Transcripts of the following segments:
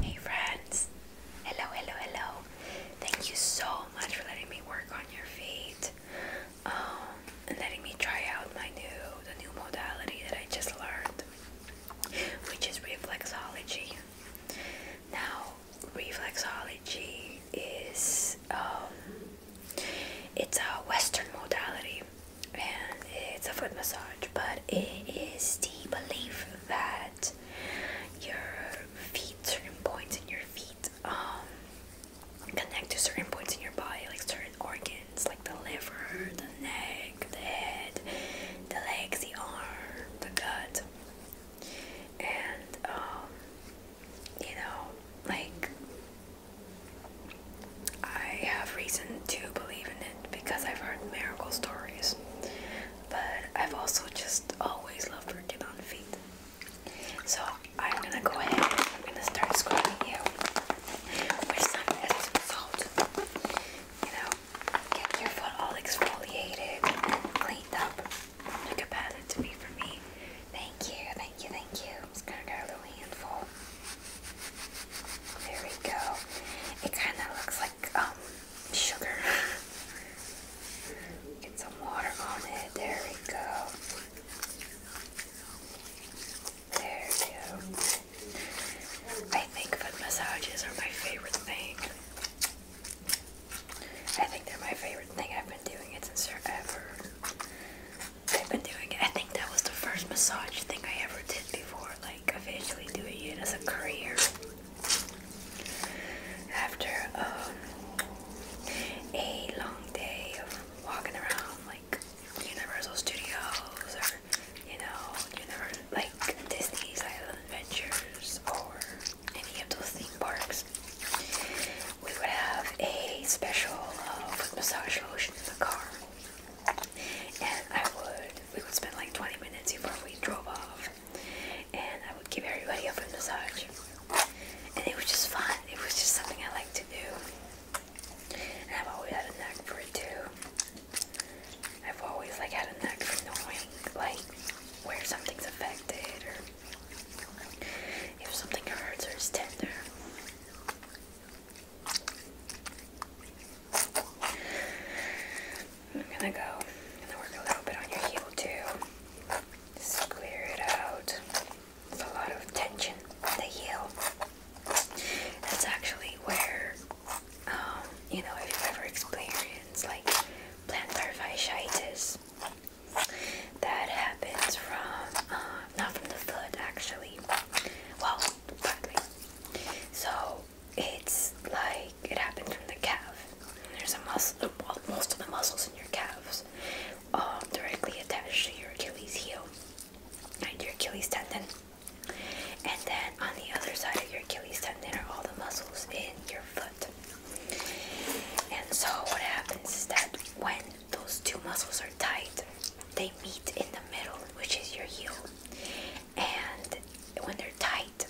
Hey friends! Hello, hello, hello! Thank you so much for letting me work on your feet um, and letting me try out my new, the new modality that I just learned, which is reflexology. Now, reflexology is um, it's a Western modality and it's a foot massage, but it is the belief that your feet, certain points in your feet, um, connect to certain points in your body, like certain organs, like the liver, the neck, the head, the legs, the arm, the gut, and um, you know, like I have reason to believe in it because I've heard miracle stories, but I've also just always loved working on feet. So I'm gonna go ahead and I'm gonna start scrubbing you with some Epsom salt. You know, get your foot all exfoliated cleaned up. Look at that, to be for me. Thank you. Thank you, thank you. I'm just gonna get a little handful. There we go. It kind of looks like um sugar. Get some water on it. There we go. There we go. I think foot massages are my favorite thing. I think they're my favorite thing. I've been doing it since forever. I've been doing it. I think that was the first massage thing I ever did before, like officially doing it as a career. After um, a long day of walking around, like Universal Studios or you know, like Disney's Island Adventures or any of those theme parks, we would have a special uh, massage lotion in the car. And I would, we would spend like 20 minutes before we drove off. And I would give everybody a foot massage. And it was just fun. It was just something I like to do. I've always had a knack for it too. I've always like had a knack for knowing like where something's affected or if something hurts or is tender. I'm gonna go and work a little bit on your heel too. Just it out. There's a lot of tension in the heel. That's actually where, um, you know, if you've ever experienced like plantar fasciitis, that happens from um, not from the foot actually. Well, So it's like it happens from the calf. There's a muscle, well, most of the muscles in your calves um, directly attached to your Achilles heel and your Achilles tendon. And then on the other side of your Achilles tendon are all the muscles in your foot. And so what happens is that when those two muscles are tight, they meet in the middle, which is your heel. And when they're tight,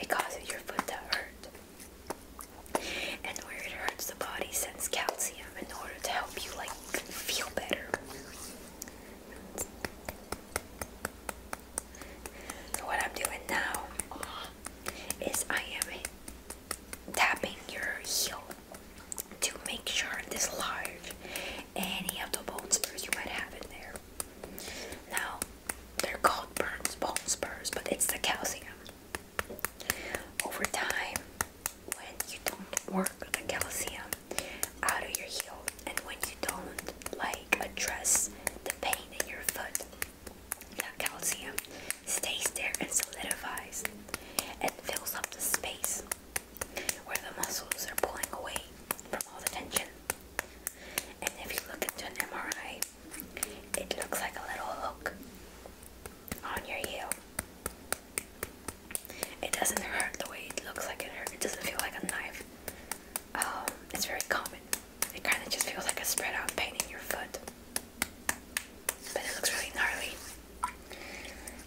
it causes your foot to hurt. And where it hurts, the body sends calcium in order to help you like feel better. So what I'm doing now is I am tapping your heel to make sure dislodge any of the bone spurs you might have in there. Now, they're called burns, bone spurs, but it's the calcium. Over time, when you don't work the calcium out of your heel, and when you don't like address the pain in your foot, the calcium stays there and solidifies and fills up the space where the muscles are pulling away from all the tension. And if you look into an MRI, it looks like a little hook on your heel. It doesn't hurt the way it looks like it hurts. It doesn't feel like a knife. Um, it's very common. It kind of just feels like a spread out pain in your foot. But it looks really gnarly.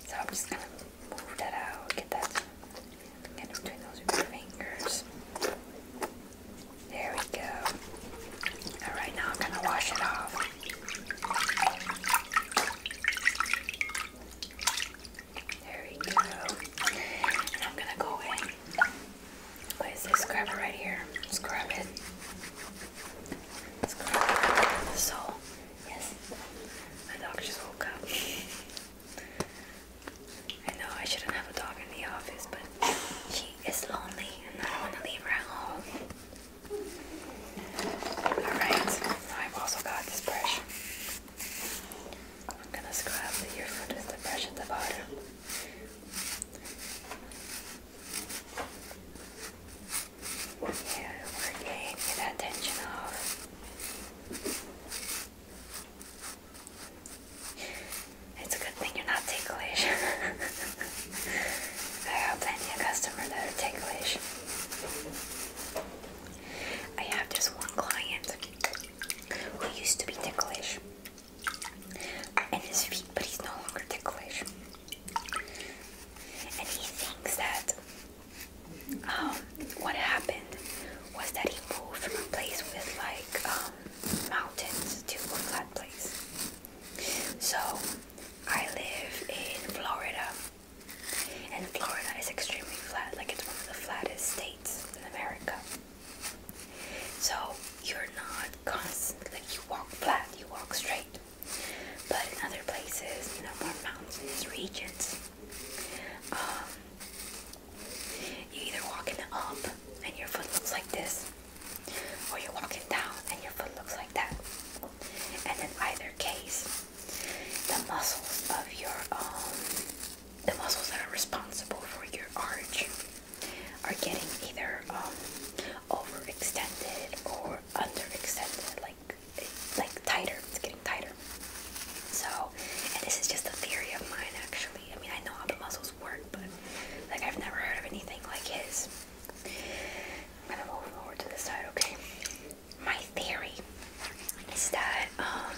So I'm just gonna move that out, get that. Again, i those fingers. There we go. Alright, now I'm gonna wash it off. There we go. And I'm gonna go in. What is this? Scrub it right here. Scrub it. So, yes, my dog just woke up. I know I shouldn't have a dog in the office, but she is lonely and I don't want to leave her at home. Alright, I've also got this brush. I'm gonna scrub the ear for just the brush here we're getting the attention of. It's a good thing you're not ticklish. there are plenty of customers that are ticklish. I have this one client who used to be ticklish. And his feet, but he's no longer ticklish. And he thinks that um, what happened was that he moved from a place with like um, mountains to a flat place. So I live in Florida, and Florida is extremely flat, like it's one of the flattest states in America. So you're not constantly like you walk flat, you walk straight. But in other places, no more mountains. regions, um, you either walking up and your foot looks like this, or you're walking down and your foot looks like that. And in either case, the muscles of your um, the muscles that are responsible for your arch are getting either um, overextended or underextended, like like tighter. It's getting tighter. So, and this is just a theory of mine, actually. I mean, I know how the muscles work, but like I've never heard of anything like his. I'm gonna move over to the side, okay? My theory is that um,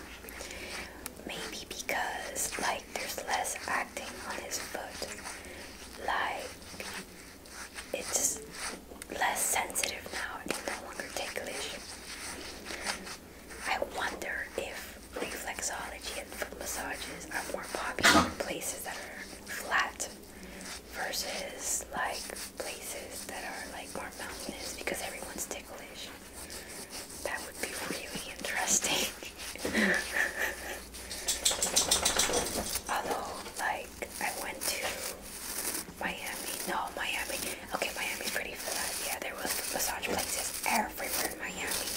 maybe because like there's less acting on his foot, like it's just less sensitive now and no longer ticklish. I wonder if reflexology and foot massages are more popular in places that are flat versus like places that are like more mountainous because everyone's ticklish. That would be really interesting. Although, like, I went to Miami. No, Miami. Okay, Miami pretty for Yeah, there was massage places everywhere in Miami.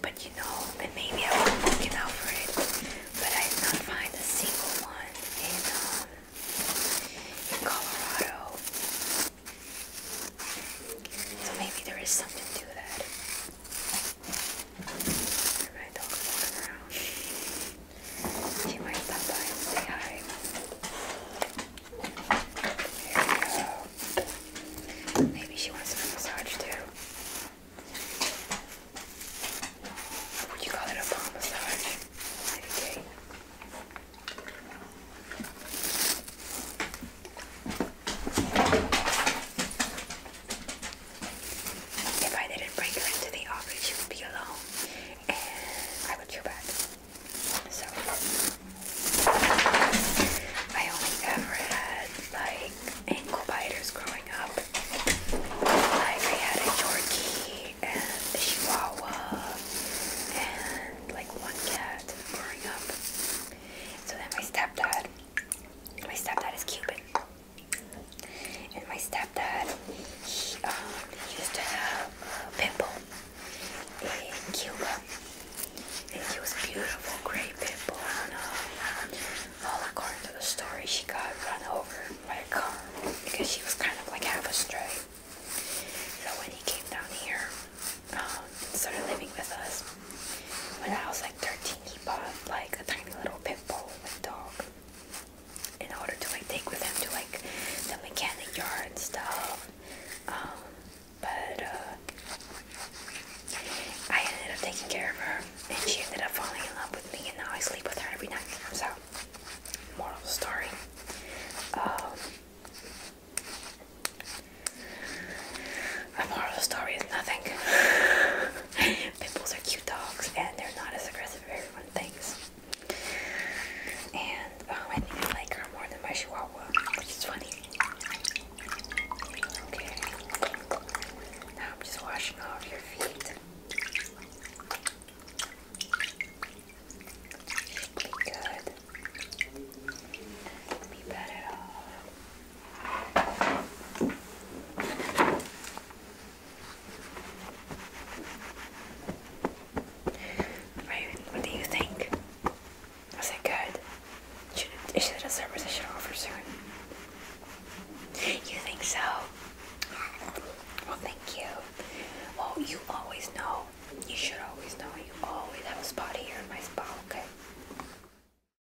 But you know, and maybe I was looking out for it, but I did not find a single one in um in Colorado. So maybe there is something to that. Her dog is around. She might stop by say hi. Maybe she wants a massage too. Would you call it a palm massage? Meditate. If I didn't bring her into the office, she would be alone, and I would feel bad. So I only ever had like ankle biters growing up. I had a Yorkie and a Chihuahua and like one cat growing up. So then my stepdad, my stepdad is Cuban. And my stepdad, um, he used to have a pimple in Cuba. And he was beautiful, great pimple. And um, all according to the story, she got run over by a car because she was kind of like half a astray. So when he came down here, um, started living with us, when I was like 13, he bought like a tiny little pit bull like dog in order to like take with him to like the mechanic yard and stuff. Um, but uh, I ended up taking care of her, and she ended up falling in love with me, and now I sleep with her every night. So, moral of the story. Um, the moral story is nothing. Pit are cute dogs, and they're not as aggressive as everyone thinks. And oh, I think I like her more than my Chihuahua, which is funny. Okay. Now I'm just washing off your feet. be good. Be better off. Raven, what do you think? Was it good? Should it, is a service I should offer soon? You think so? Well, thank you. Well, you always know. You should always know. You always have a spot here in my spa, okay?